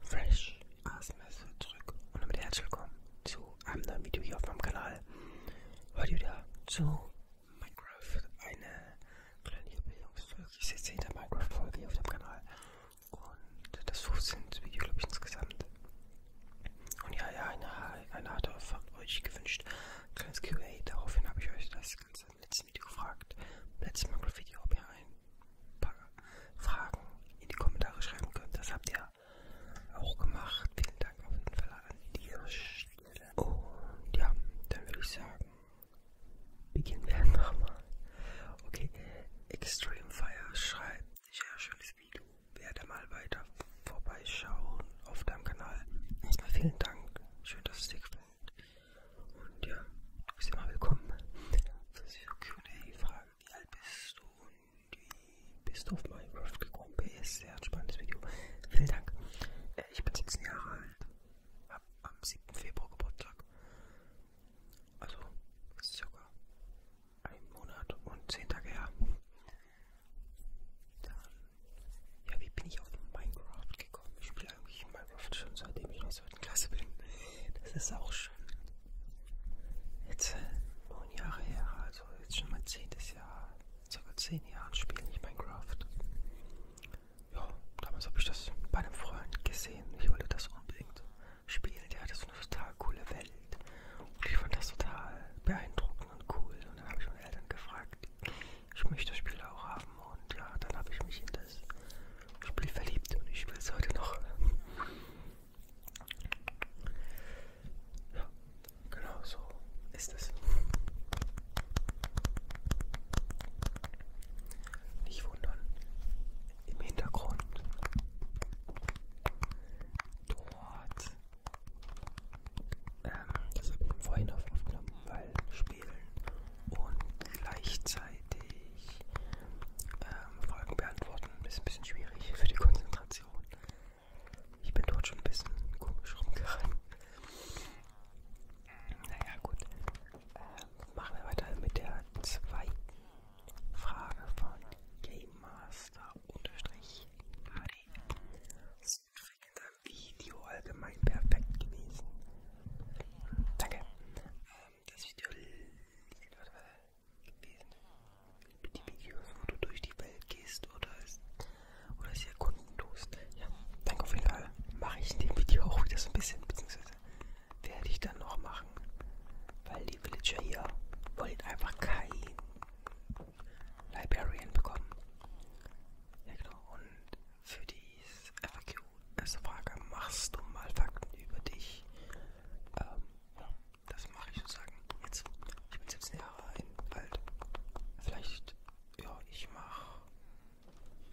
Fresh aus Messe zurück und damit herzlich willkommen zu einem neuen Video hier auf meinem Kanal. Heute wieder zu Minecraft, eine kleine Jubiläumsfolge. Ich sitze hinter Minecraft-Folge hier auf dem Kanal und das 15. Video, glaube ich, insgesamt. Und ja, ja, eine, eine harte von euch gewünscht. Kleines QA, daraufhin habe ich euch das ganze im letzten Video gefragt. Im letzten Minecraft-Video, ob ihr ein paar Fragen in die Kommentare schreiben könnt. Das habt ihr auch gemacht. Vielen Dank auf jeden Fall an dieser Stelle. Und ja, dann würde ich sagen, beginnen wir nochmal. Okay, Extreme Fire schreibt, sehr schönes Video. Werde mal weiter vorbeischauen auf deinem Kanal. Erstmal vielen Dank. Schön, dass es dir gefällt. Und ja, du bist immer willkommen für diese QA-Fragen wie alt bist du und wie bist du auf Minecraft gekommen? PS, sehr spannendes Video. Vielen Dank. Äh, ich bin 17 Jahre alt, hab am 7. Februar Geburtstag. Also, das ist circa ein Monat und 10 Tage her. Dann, ja, wie bin ich auf Minecraft gekommen? Ich spiele eigentlich Minecraft schon seitdem ich der zweiten Klasse bin. Das ist auch schon jetzt neun Jahre her, also jetzt schon mein zehntes Jahr, circa zehn Jahren spiele ich Minecraft. Ja, damals habe ich das bei einem Freund gesehen. Ich wollte das unbedingt spielen. Der hatte so eine total coole Welt. Und ich fand das total beeindruckend und cool. Und dann habe ich meine Eltern gefragt, ich möchte das Spiel auch haben. Und ja, dann habe ich mich in das Spiel verliebt und ich spiele es heute noch. Ja, genau so ist es. Nicht wundern, im Hintergrund dort. Ähm, das habe ich vorhin aufgenommen, weil Spielen und gleichzeitig gleichzeitig ähm, Fragen beantworten. Ist ein bisschen schwierig für die Konzentration. Ich bin dort schon ein bisschen komisch rumgerannt. Naja, gut. Ähm, machen wir weiter mit der zweiten Frage von Game Master unterstrich Sind wir in deinem Video allgemein perfekt gewesen? Danke das Video gewesen. Mit den Videos, wo du durch die Welt gehst oder es, oder es erkunden tust. Ja, danke auf jeden Fall. Mache ich in dem Video auch wieder so ein bisschen, beziehungsweise werde ich dann noch machen. Weil die Villager hier wollen einfach keinen Librarian bekommen. Ja genau, und für die FAQ erste also Frage, machst du mal Fakten über dich? Ähm, das mache ich sozusagen jetzt. Ich bin 17 Jahre alt. Vielleicht, ja, ich mache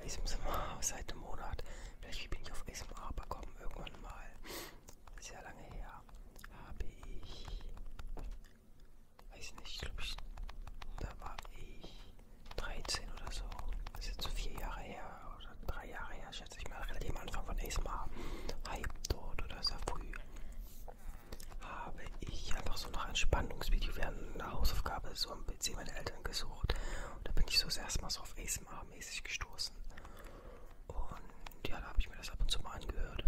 ASMR seit einem Monat. Vielleicht bin ich auf ASMR gekommen irgendwann mal. Sehr lange her. Habe ich, weiß nicht, glaube ich, da war ich 13 oder so. Das ist jetzt so vier Jahre her drei Jahre her, schätze ich mal, relativ am Anfang von ASMR, Hype dort oder sehr früh, habe ich einfach so nach Entspannungsvideo während einer Hausaufgabe so am PC meiner Eltern gesucht. Und da bin ich so das erste Mal so auf ASMR-mäßig gestoßen. Und ja, da habe ich mir das ab und zu mal angehört.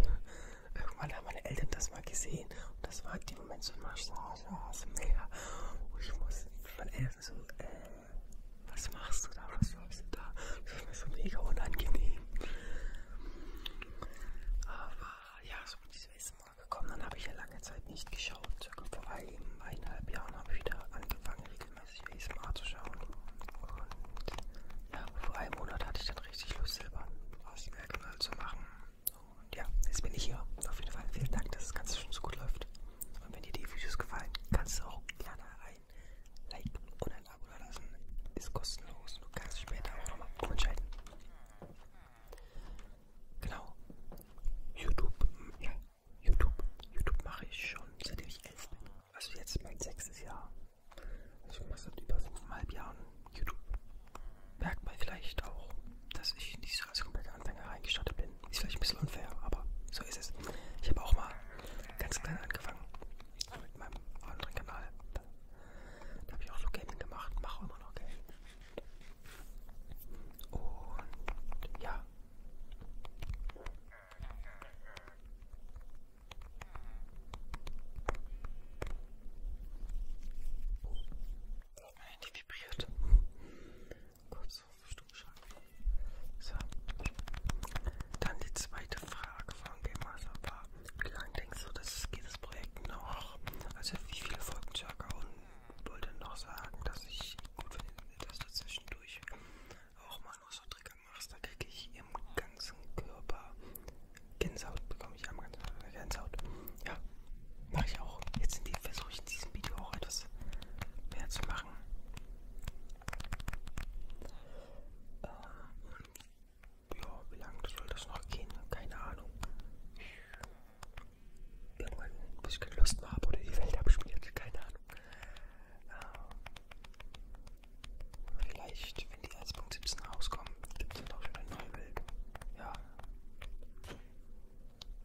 Irgendwann haben meine Eltern das mal gesehen. Und das war in dem Moment so, ich saß, saß, mehr. Und ich muss, meine Eltern so, äh, was machst du da, was sollst du da? Das ist mir so mega unangenehm. Aber ja, so bin ich zum ersten Mal gekommen. Dann habe ich ja lange Zeit nicht geschaut. Circa vor einem, eineinhalb Jahren habe ich wieder angefangen, regelmäßig ASMR zu schauen. Und ja, vor einem Monat hatte ich dann richtig Lust, selber aus Merkmal zu machen. Und ja, jetzt bin ich hier. Auf jeden Fall vielen Dank, dass das Ganze schon so gut läuft. Und wenn dir die Videos gefallen, kannst du auch gerne ein Like und ein Abo da lassen. Ist kostenlos. Du kannst später auch nochmal entscheiden. Genau. YouTube. Ja, YouTube. YouTube mache ich schon seitdem ich elf bin. Also jetzt mein sechstes Jahr. Also ich mache seit über fünfeinhalb Jahren YouTube. Merkt man vielleicht auch, dass ich nicht so als kompletter Anfänger reingestattet bin. Ist vielleicht ein bisschen unfair, aber so ist es. Ich habe auch mal ganz klein angefangen mit meinem anderen Kanal. Da, da habe ich auch so Gaming gemacht, mache immer noch Gaming. Und ja. Oh, die vibriert. Kurz auf Stumm so. Dann die zweite Frage von Game Master war, wie lange denkst du, dass es dieses Projekt noch, also wie viele Folgen circa und wollte noch sagen, dass ich gut finde, dass du zwischendurch auch mal noch so Trigger machst, da kriege ich im ganzen Körper Gänsehaut, bekomme ich am ganzen Körper Gänsehaut. Ja, mache ich auch. Jetzt versuche ich in diesem Video auch etwas mehr zu machen. Ähm, ja, wie lange soll das noch gehen? Keine Ahnung. Irgendwann, bis ich keine Lust mehr habe oder die Welt abspielt, keine Ahnung. Ähm, vielleicht, wenn die 1.17 rauskommen, gibt es dann auch schon eine neue Welt. Ja.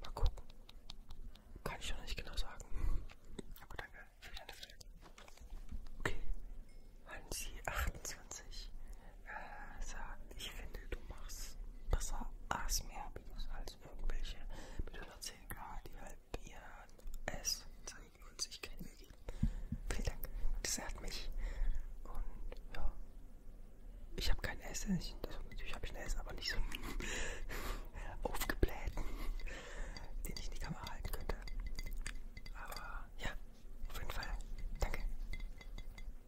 Mal gucken. Kann ich noch nicht genau sagen. Aber danke für den Film. Okay. Hansi 28 äh, sagt, ich finde, du machst besser ASMR-Videos als irgendwelche mit 110k, die halt ihr S zeigen und sich kein Mühe geben. Vielen Dank. Das ehrt mich. Und ja. Ich habe kein S, ich, also natürlich habe ich ein S, aber nicht so aufgebläht den ich in die Kamera halten könnte. Aber ja, auf jeden Fall. Danke.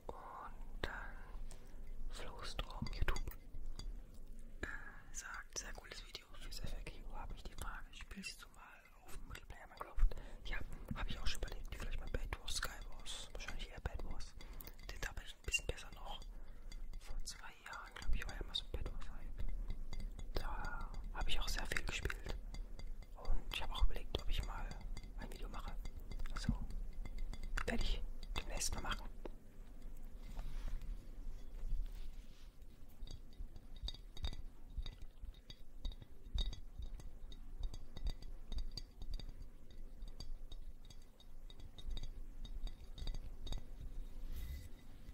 Und dann Flowstrom YouTube äh, sagt, sehr cooles Video fürs FAQ habe ich die Frage, spielst du mal auf dem Multiplayer Minecraft? Ja, habe ich auch schon überlegt, wie vielleicht mal Bad Wars, Sky Wars, wahrscheinlich eher Bad Wars. Den habe ich ein bisschen besser noch vor zwei Jahren Jahren, glaube ich, war ja mal so ein Bedwars-Hype. Da habe ich auch sehr viel gespielt. Und ich habe auch überlegt, ob ich mal ein Video mache. Also werde ich demnächst mal machen.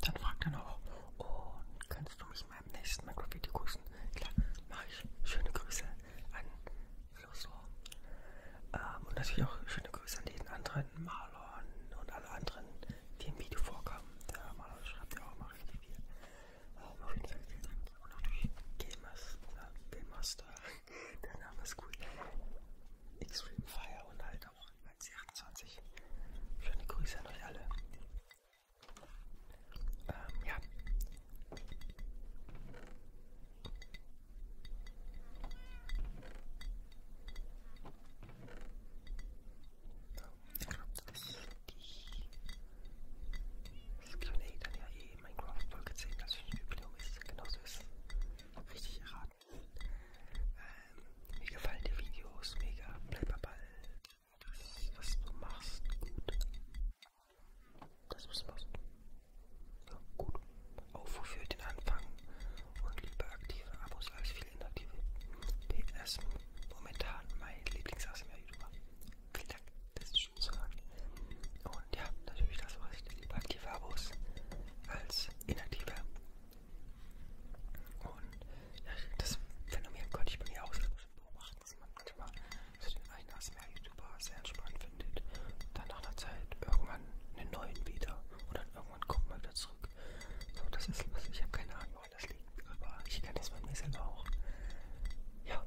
Dann fragt er noch, und oh, kannst du mich in meinem nächsten Makro-Video grüßen? Klar, mache ich. Schöne Grüße an Flosor. Ähm, und natürlich auch schöne Grüße an jeden anderen Marlon und alle anderen, die im Video vorkamen. Der Marlon schreibt ja auch mal richtig viel. Ähm, auf jeden Fall vielen Dank. Und natürlich Gamers, äh, Game Master. Der Name ist cool. Extreme Fire und halt auch 28. Schöne Grüße an euch alle. Ähm, ja. Ich glaube, das das Q&A dann ja eh Minecraft Folge 10, das Jubiläum ist, genauso ist richtig erraten. Antworten. Ähm, mir gefallen die Videos, mega, bleib am Ball. Das, was du machst, gut. Das, was du machst. Ja, gut. Aufruf für den Anfang und lieber aktive Abos als viele inaktive. PS, momentan mein Lieblings-ASMR-YouTuber. Vielen Dank, das ist schön zu hören. Und ja, natürlich das, was ich lieber aktive Abos als inaktive und ja, das Phänomen konnte ich bei mir auch so beobachten, dass man manchmal so den einen ASMR-YouTuber sehr entspannt findet. Dann nach einer Zeit irgendwann einen neuen wieder. Und dann irgendwann kommt man wieder zurück. So, das ist lustig. Ich habe keine Ahnung, woran das liegt. Aber ich kenne das bei mir selber auch. Ja.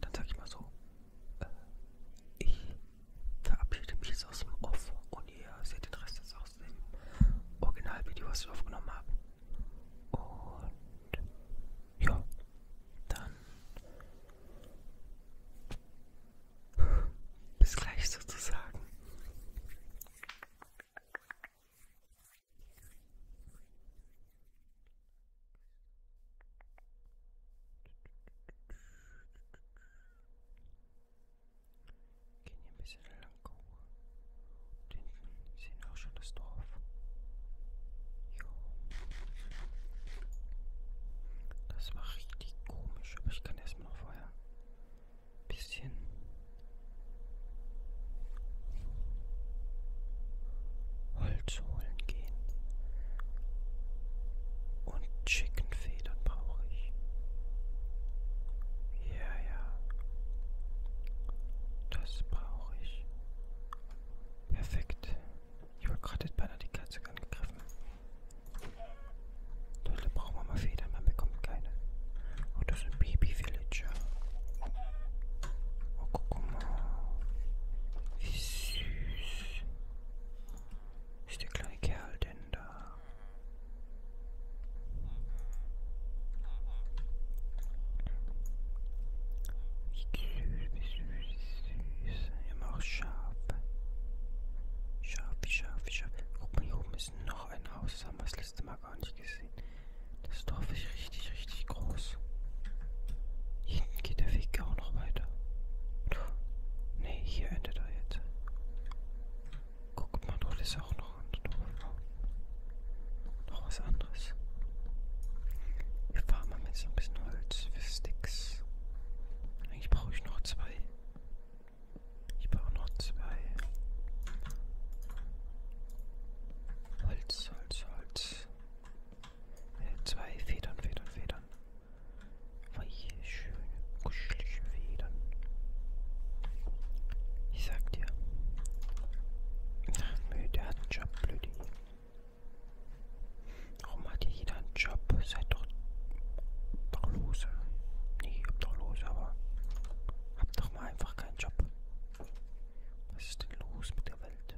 Dann sag ich mal so, äh, ich verabschiede mich jetzt aus dem Off und ihr seht den Rest jetzt aus dem Originalvideo, was ich aufgenommen habe. Und ja, dann bis gleich sozusagen. Gehen hier ein bisschen lang. Und hinten sehen wir auch schon das Dorf. Jo. Das war richtig komisch, aber ich kann erstmal noch vorher ein bisschen Holz holen gehen. Und Chickenfedern brauche ich. Ja, ja. Das brauche ich. Perfekt. Ich wollte gerade beinahe die Katze angegriffen. Leute, brauchen wir mal Federn, man bekommt keine. Oh, das sind Baby-Villager. Oh, guck mal. Wie süß. Ist der kleine Kerl denn da? Wie süß, wie süß, wie süß. Immer auch scharf. Scharf, scharf, scharf. Guck mal, hier oben ist noch ein Haus. Haben wir es letzte Mal gar nicht gesehen. Das Dorf ist richtig, richtig groß. Hinten geht der Weg auch noch weiter. Ne, hier endet er jetzt. Guckt mal, dort ist auch noch ein Dorf. Noch was anderes. Wir fahren mal mit so ein bisschen Holz für Sticks. Eigentlich brauche ich noch zwei. Ich brauche noch zwei. Holz. Holz, Holz, Holz. Äh, zwei Federn, Federn, Federn. Weiche, schöne, kuschelige Federn. Ich sag dir. Ach, nö, der hat einen Job, blöd. Warum hat hier jeder einen Job? Seid doch, doch lose. Nee, habt doch lose, aber habt doch mal einfach keinen Job. Was ist denn los mit der Welt?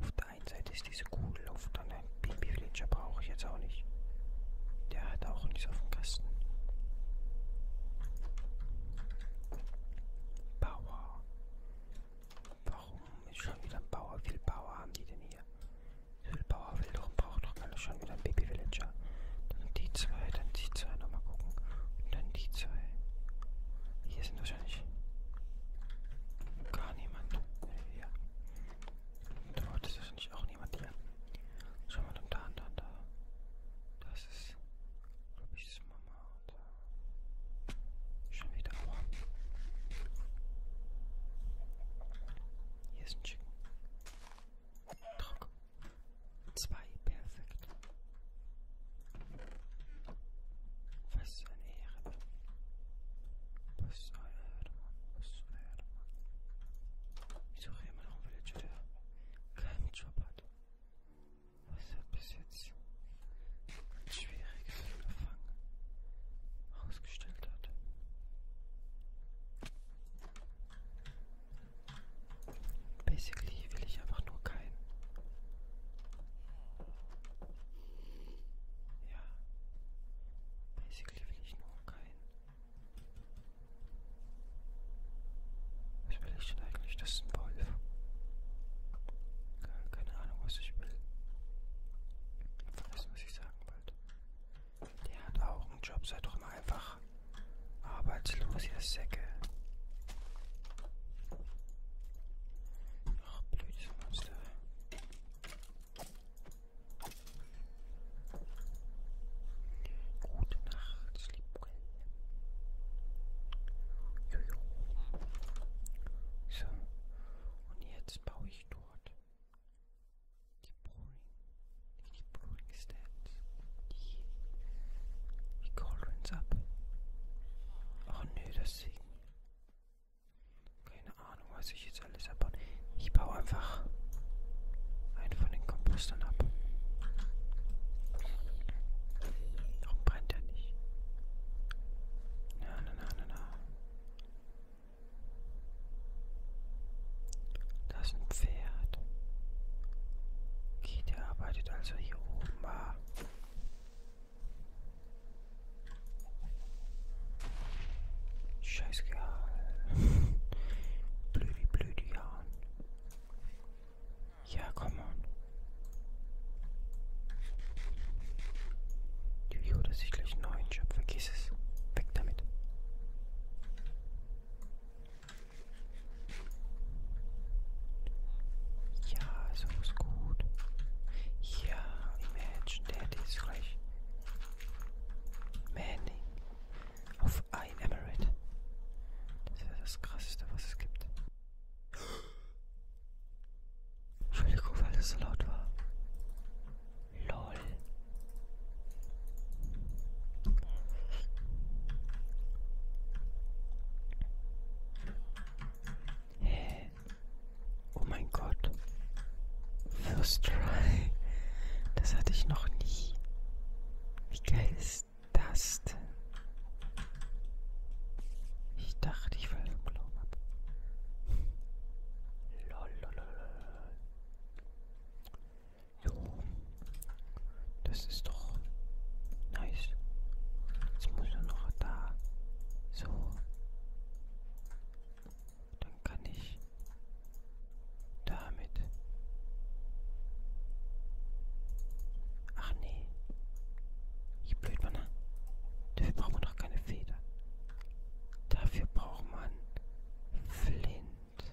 Auf der einen Seite ist diese Kugel, auf der anderen Baby Villager brauche ich jetzt auch nicht. Der hat auch nichts auf dem Kasten. Bauer. Warum ist schon wieder ein Bauer? Wie viel Bauer haben die denn hier? Wie viel Bauer will doch, braucht doch keiner schon wieder ein Baby Villager. Dann die zwei, dann die zwei, nochmal gucken. Und dann die zwei. Hier sind wahrscheinlich gar niemand. Ja. Dort ist wahrscheinlich auch niemand hier. Schau mal, dann da, da, da. Das ist, glaube ich, das Mama. Und da. Schon wieder. Aua. Hier ist ein Chicken. Trock. Zwei, perfekt. Was eine Ehre. Was eine Ehre, Mann. Was eine Ehre, Mann. Ich suche immer noch einen Villager, der keinen Job hat. Was hat bis jetzt ein schwieriges Unterfangen ausgestellt hat. Basically will ich einfach nur keinen. Ja. Basically will ich nur keinen. Was will ich denn eigentlich? Das ist ein Wolf. Keine Ahnung, was ich will. Das muss ich sagen bald. Der hat auch einen Job, sei doch mal einfach Arbeitslos, ihr Säcke. Ach, blödes Monster. Gute Nacht, Sleepwell. Jojo. So, und jetzt baue ich dort die Boring, die Boring Stand. Die Cauldrons ab. Ach nö, das Keine Ahnung, was ich jetzt alles abbaue. Ich baue einfach einen von den Kompostern ab. Warum brennt er nicht? Na, na, na, na, na. Das ist ein Pferd. Okay, der arbeitet also hier oben. Ah. Feuer. Scheiße, Gehauen. blödi, blödi Gehauen. Ja, komm on. Jo, dass ich gleich einen neuen Job vergiss es. Weg damit. Ja, so ist gut. Ja, Imagine Daddies gleich. Manning auf ein Emirate. Das ist ja das krasseste, was es gibt. Entschuldigung, weil das so laut war. LOL. Hä? Oh mein Gott. First try. Das hatte ich noch nie. Wie geil ist das denn? Ich dachte, ich falle vom Glauben ab. Lolololol. Jo. Das ist doch nice. Jetzt muss er noch da. So. Dann kann ich damit. Ach nee. Ich blöd man. Ne? Dafür braucht man doch keine Feder. Dafür braucht man Flint.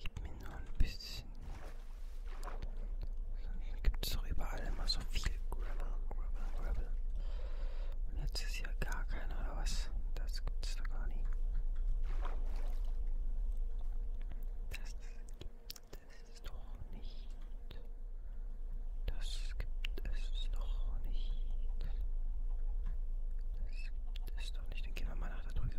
Gib mir nur ein bisschen. Sonst gibt es doch überall immer so viel Gravel, Gravel, Gravel. Und jetzt ist hier gar keiner oder was? Das gibt's doch gar nicht. Das gibt es doch nicht. Das gibt es doch nicht. Das gibt es doch nicht. Dann gehen wir mal nach da drüben.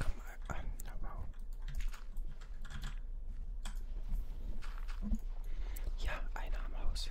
Komm mal an, wow. Ja, einer am Haus.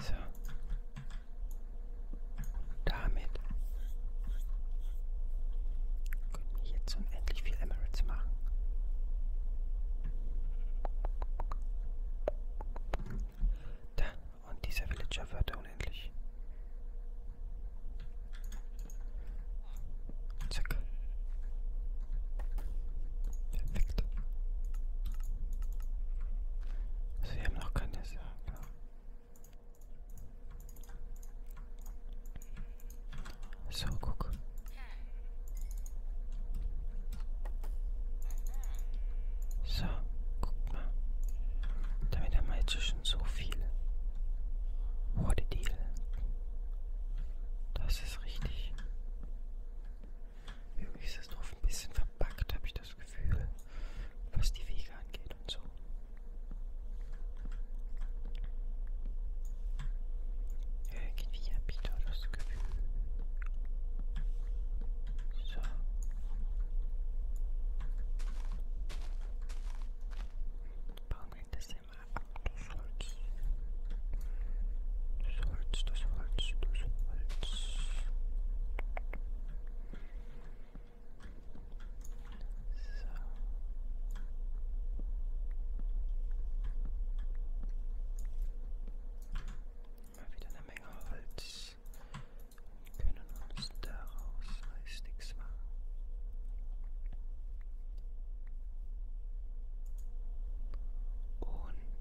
So. Damit können wir jetzt unendlich viel Emirates machen. Da, und dieser Villager wird unendlich. Zack. Perfekt. Also wir haben noch keine Sache. Genau. So, guck. So, guck mal. Damit haben wir jetzt schon so viele. What a deal. Das ist richtig irgendwie ist das Dorf ein bisschen verpackt, habe ich das Gefühl, was die Wege angeht und so. Irgendwie habe ich da das Gefühl. So. Bauen wir das immer ab, das Holz. Das Holz, das Holz, das Holz. So. Mal wieder eine Menge Holz. Wir können uns daraus nichts machen. Und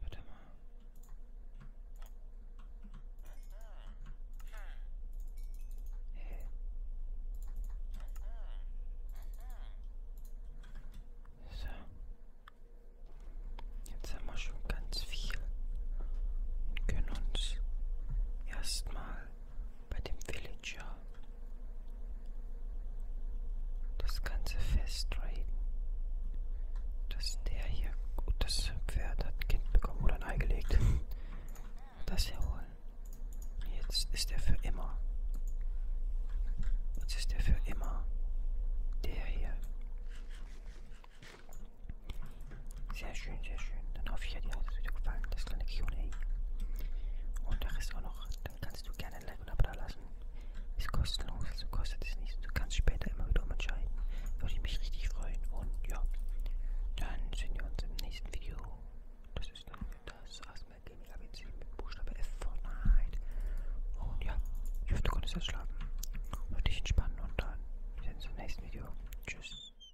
warte mal. Hey. So. Jetzt haben wir schon ganz viel und können uns erstmal bei dem Villager das ganze festraten, dass der hier gut das Pferd hat ein Kind bekommen oder ein Ei gelegt. Das herholen. Jetzt ist er für immer. Jetzt ist er für immer. Der hier. Sehr schön, sehr schön. Dann hoffe ich, hat dir das Video gefallen, das kleine QA. Und der Rest auch noch. Dann kannst du gerne ein Like und Abo da lassen. Ist kostenlos, also kostet es nichts. Du kannst später immer wieder entscheiden. Würde ich mich richtig freuen. Und ja, dann sehen wir uns im nächsten Video. Das ist dann das Asmer Gaming ABC mit Buchstabe F Fortnite. Und ja, ich hoffe, du konntest das schlafen. Und dich entspannen und dann sehen wir uns im nächsten Video. Tschüss.